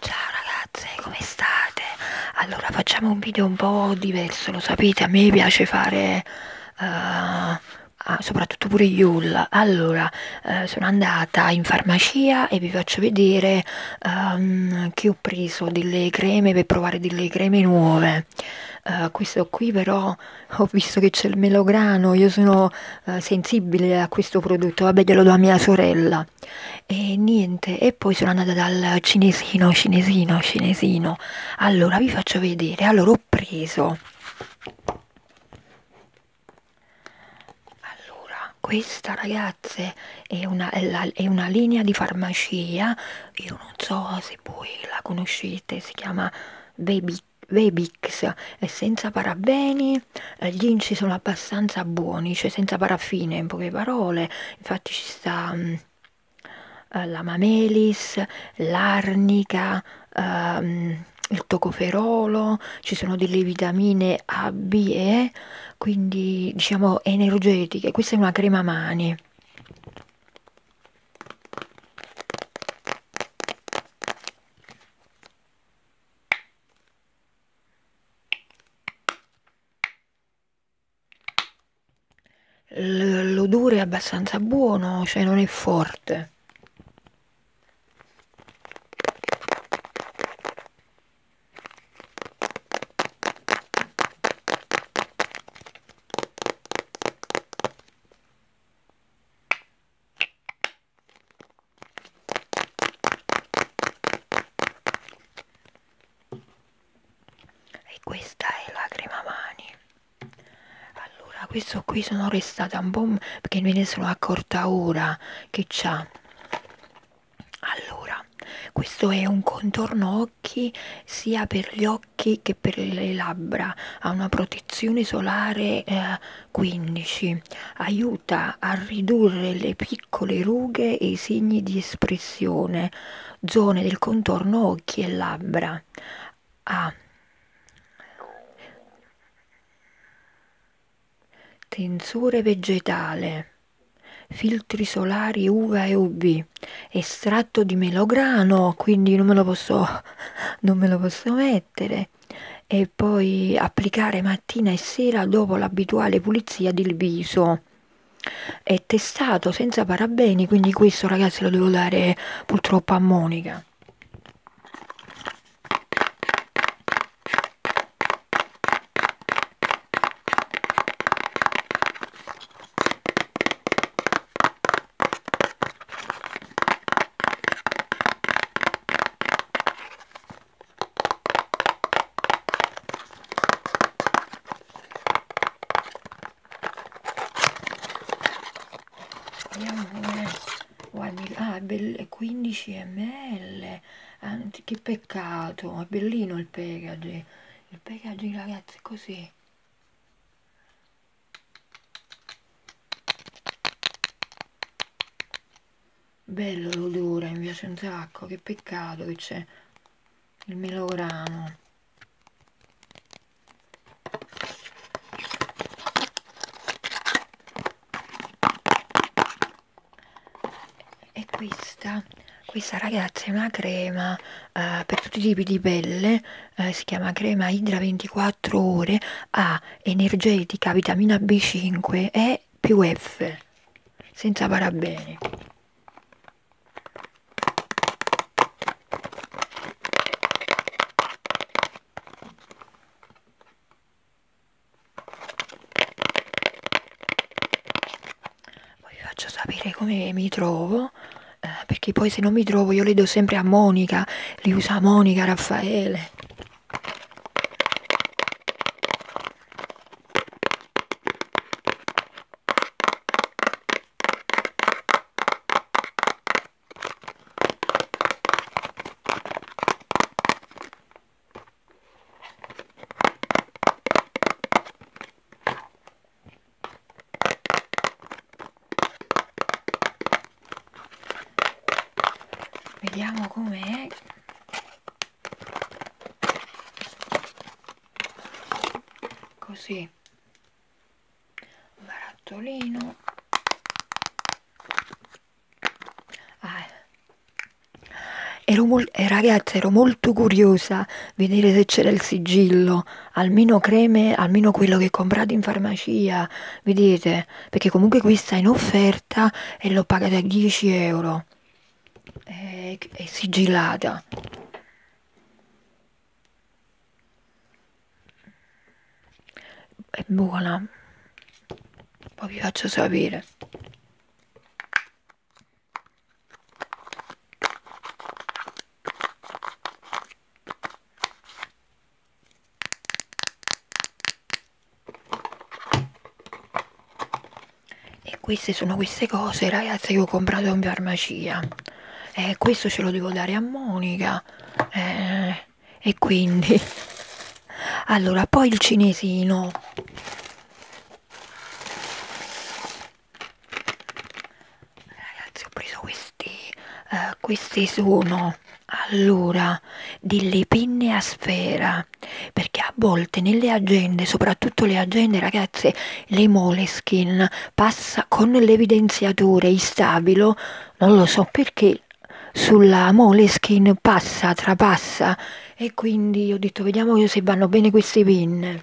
Ciao ragazze, come state? Allora facciamo un video un po' diverso, lo sapete, a me piace fare uh, soprattutto pure Yule. Allora, uh, sono andata in farmacia e vi faccio vedere um, che ho preso delle creme per provare delle creme nuove. Uh, questo qui però ho visto che c'è il melograno, io sono eh, sensibile a questo prodotto, vabbè glielo do a mia sorella. E niente, e poi sono andata dal cinesino, cinesino, cinesino. Allora vi faccio vedere, allora ho preso... Allora, questa ragazze è una, è, la, è una linea di farmacia, io non so se voi la conoscete, si chiama Baby Vebix è senza parabeni, eh, gli inci sono abbastanza buoni, cioè senza paraffine in poche parole, infatti ci sta um, la mamelis, l'arnica, um, il tocoferolo, ci sono delle vitamine A, B e E, quindi diciamo energetiche, questa è una crema mani. L'odore è abbastanza buono, cioè non è forte e questa è la crema mani allora questo qui sono restata un po' perché me ne sono accorta ora che c'ha allora questo è un contorno occhi sia per gli occhi che per le labbra ha una protezione solare eh, 15. Aiuta a ridurre le piccole rughe e i segni di espressione, zone del contorno occhi e labbra. A. Tensore vegetale filtri solari uva e UV, estratto di melograno, quindi non me lo posso, non me lo posso mettere mettere e poi applicare mattina e sera dopo l'abituale pulizia del viso è testato senza parabeni quindi questo ragazzi lo devo dare purtroppo a Monica Andiamo pure, guardi, ah, è 15 ml, ah, che peccato, è bellino il packaging, il packaging ragazzi è così Bello l'odore, mi piace un sacco, che peccato che c'è il melograno. E questa, questa ragazza è una crema eh, per tutti i tipi di pelle, eh, si chiama crema idra 24 ore, ha energetica, vitamina B5 e più F, senza parabeni. Poi vi faccio sapere come mi trovo trovo, eh, perché poi se non mi trovo io li do sempre a Monica, li usa Monica, Raffaele vediamo com'è così barattolino ah. ero eh, ragazzi ero molto curiosa vedere se c'era il sigillo almeno creme, almeno quello che comprate in farmacia, vedete? Perché comunque questa è in offerta e l'ho pagata a 10 euro. È, è sigillata. È buona. Poi vi faccio sapere. E queste sono queste cose, ragazzi, che ho comprato in farmacia. Eh, questo ce lo devo dare a Monica. Eh, e quindi... Allora, poi il cinesino ragazzi ho preso questi eh, questi sono allora delle pinne a sfera perché a volte nelle agende soprattutto le agende ragazze le moleskin passa con l'evidenziatore instabilo non lo so perché sulla moleskin passa trapassa e quindi ho detto vediamo se vanno bene queste pinne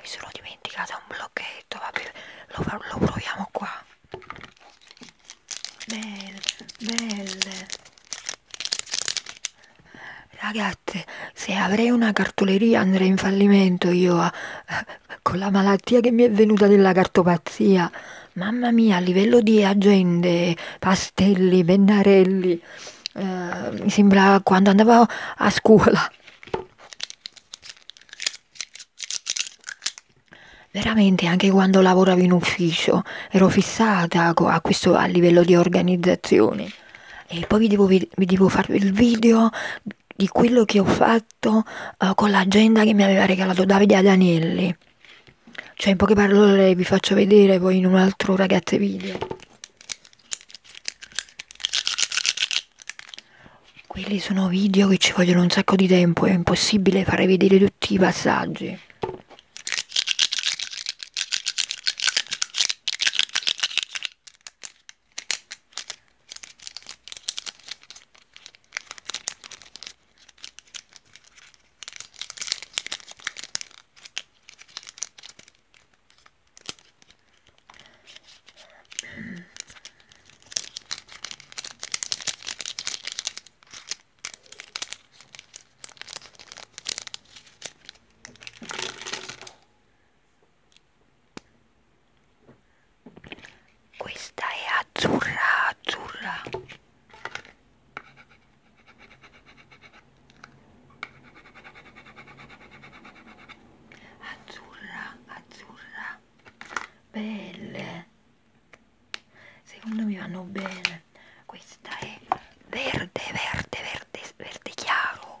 mi sono dimenticata un blocchetto vabbè lo, lo proviamo qua belle belle ragazze se avrei una cartoleria andrei in fallimento io a, ah, a, con la malattia che mi è venuta della cartopazia mamma mia a livello di agende Castelli, Bennarelli, eh, mi sembra quando andavo a scuola. Veramente anche quando lavoravo in ufficio ero fissata a, questo, a livello di organizzazione. E poi vi devo, vi devo fare il video di quello che ho fatto eh, con l'agenda che mi aveva regalato Davide Adanelli. Cioè in poche parole vi faccio vedere poi in un altro ragazze video. Quelli sono video che ci vogliono un sacco di tempo, è impossibile fare vedere tutti i passaggi. Questa è azzurra, azzurra azzurra azzurra belle secondo me vanno bene questa è verde verde verde verde chiaro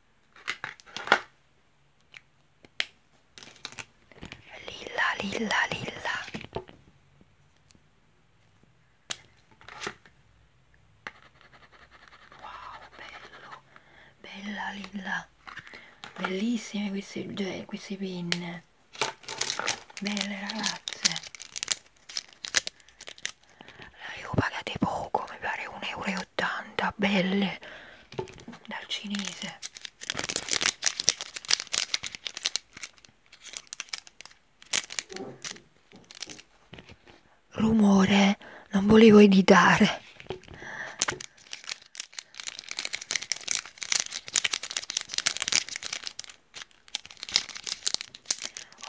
Lilla, lilla, lilla. Wow, bello. Bella lilla. Bellissime queste, cioè, queste pinne. Belle ragazze. Le ho pagate poco, mi pare 1,80 euro. 80 belle dal cinese rumore non volevo editare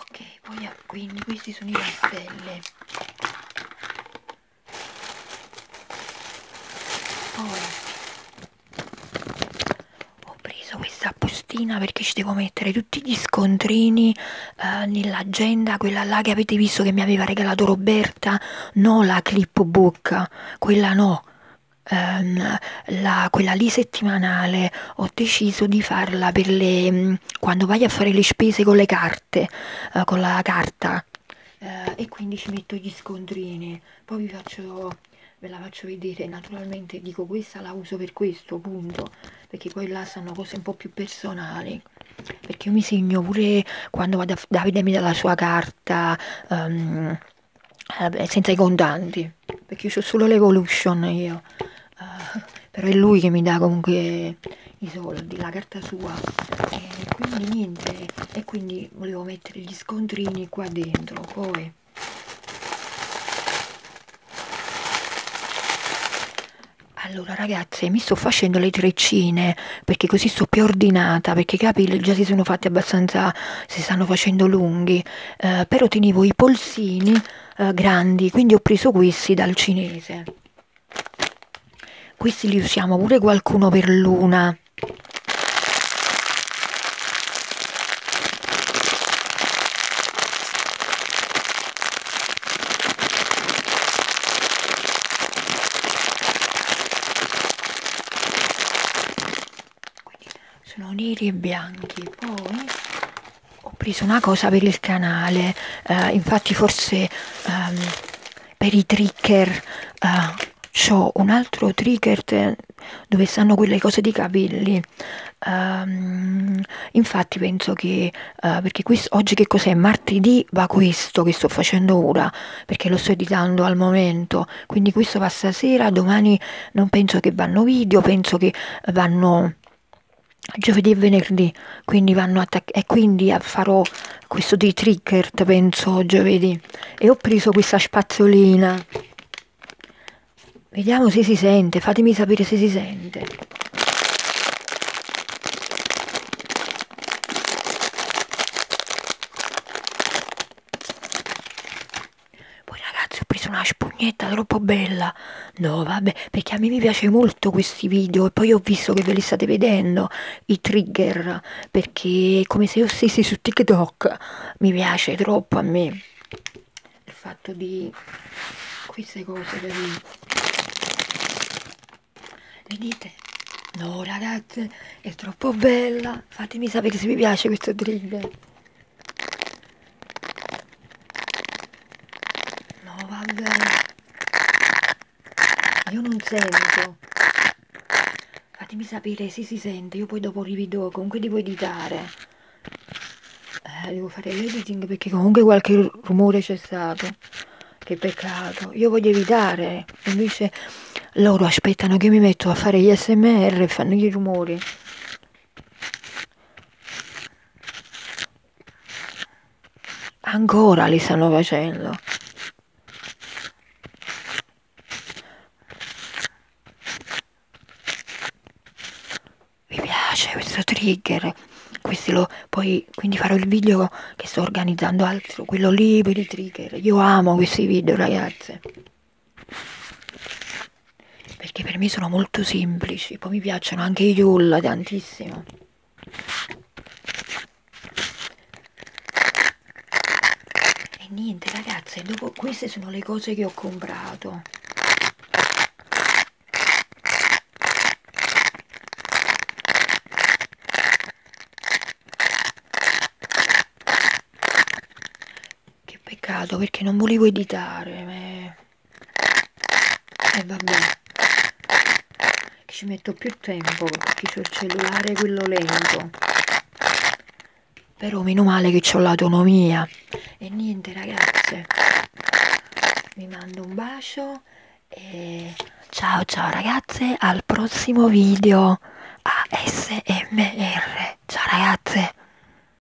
ok poi quindi questi sono i raffelli poi ho preso questa bustina perché ci devo mettere tutti gli scontrini eh, nell'agenda, quella là che avete visto che mi aveva regalato Roberta, no la clipbook, quella no. Um, la, quella lì settimanale ho deciso di farla per le mm, quando vai a fare le spese con le carte carte, eh, con la carta eh, e quindi ci metto gli scontrini, poi vi faccio, ve la faccio vedere, naturalmente dico questa la uso per questo, punto, perché poi là sono cose un po' più personali, perché io mi segno pure quando vado a, Davide mi dà la sua carta um, senza i contanti, perché io ho solo l'evolution io. Uh, però è lui che mi dà comunque i soldi, la carta sua e quindi niente e quindi volevo mettere gli scontrini qua dentro poi allora ragazze mi sto facendo le treccine perché così sto più ordinata perché i capi già si sono fatti abbastanza si stanno facendo lunghi eh, però tenevo i polsini eh, grandi quindi ho preso questi dal cinese questi li usiamo pure qualcuno per luna. Quindi sono neri e bianchi, poi ho preso una cosa per il canale, eh, infatti forse um, per i trigger uh, eh, ho un altro trigger dove stanno quelle cose di capelli. Um, infatti penso che, uh, perché questo, oggi che cos'è? Martedì va questo che sto facendo ora, perché lo sto editando al momento, quindi questo va stasera, domani non penso che vanno video, penso che vanno giovedì e venerdì, quindi vanno attaccati e quindi farò questo di trigger, penso, giovedì. E ho preso questa spazzolina. Vediamo se si sente, fatemi sapere se si sente. Poi ragazzi ho preso una spugnetta troppo bella. No vabbè, perché a me mi piace molto molto questi video e poi ho visto che ve li state vedendo i trigger perché è come se io stessi su TikTok mi piace troppo a me il fatto di queste cose per me. vedete no ragazze è troppo bella fatemi sapere se vi piace questo trigger No, vabbè. Io non sento. Fatemi sapere se si sente, io poi dopo rivedo, comunque devo editare. Eh, devo fare l'editing perché comunque qualche rumore c'è stato. Che peccato. Io voglio evitare. Invece loro aspettano che mi metto a fare gli smr e fanno i rumori. Ancora li stanno facendo. Mi piace questo trigger. Questi lo, poi quindi farò il video che sto organizzando altro, quello lì per i trigger. Io amo questi video, ragazze perché per me sono molto semplici, poi mi piacciono anche i Yul tantissimo. E niente ragazze, dopo queste sono le cose che ho comprato. Che peccato perché non volevo editare. Ma... Eh e eh, vabbè che ci metto più tempo perché c'ho il cellulare quello lento però meno male che c'ho l'autonomia e niente ragazze vi mando un bacio e ciao ciao ragazze al prossimo video ASMR ciao ragazze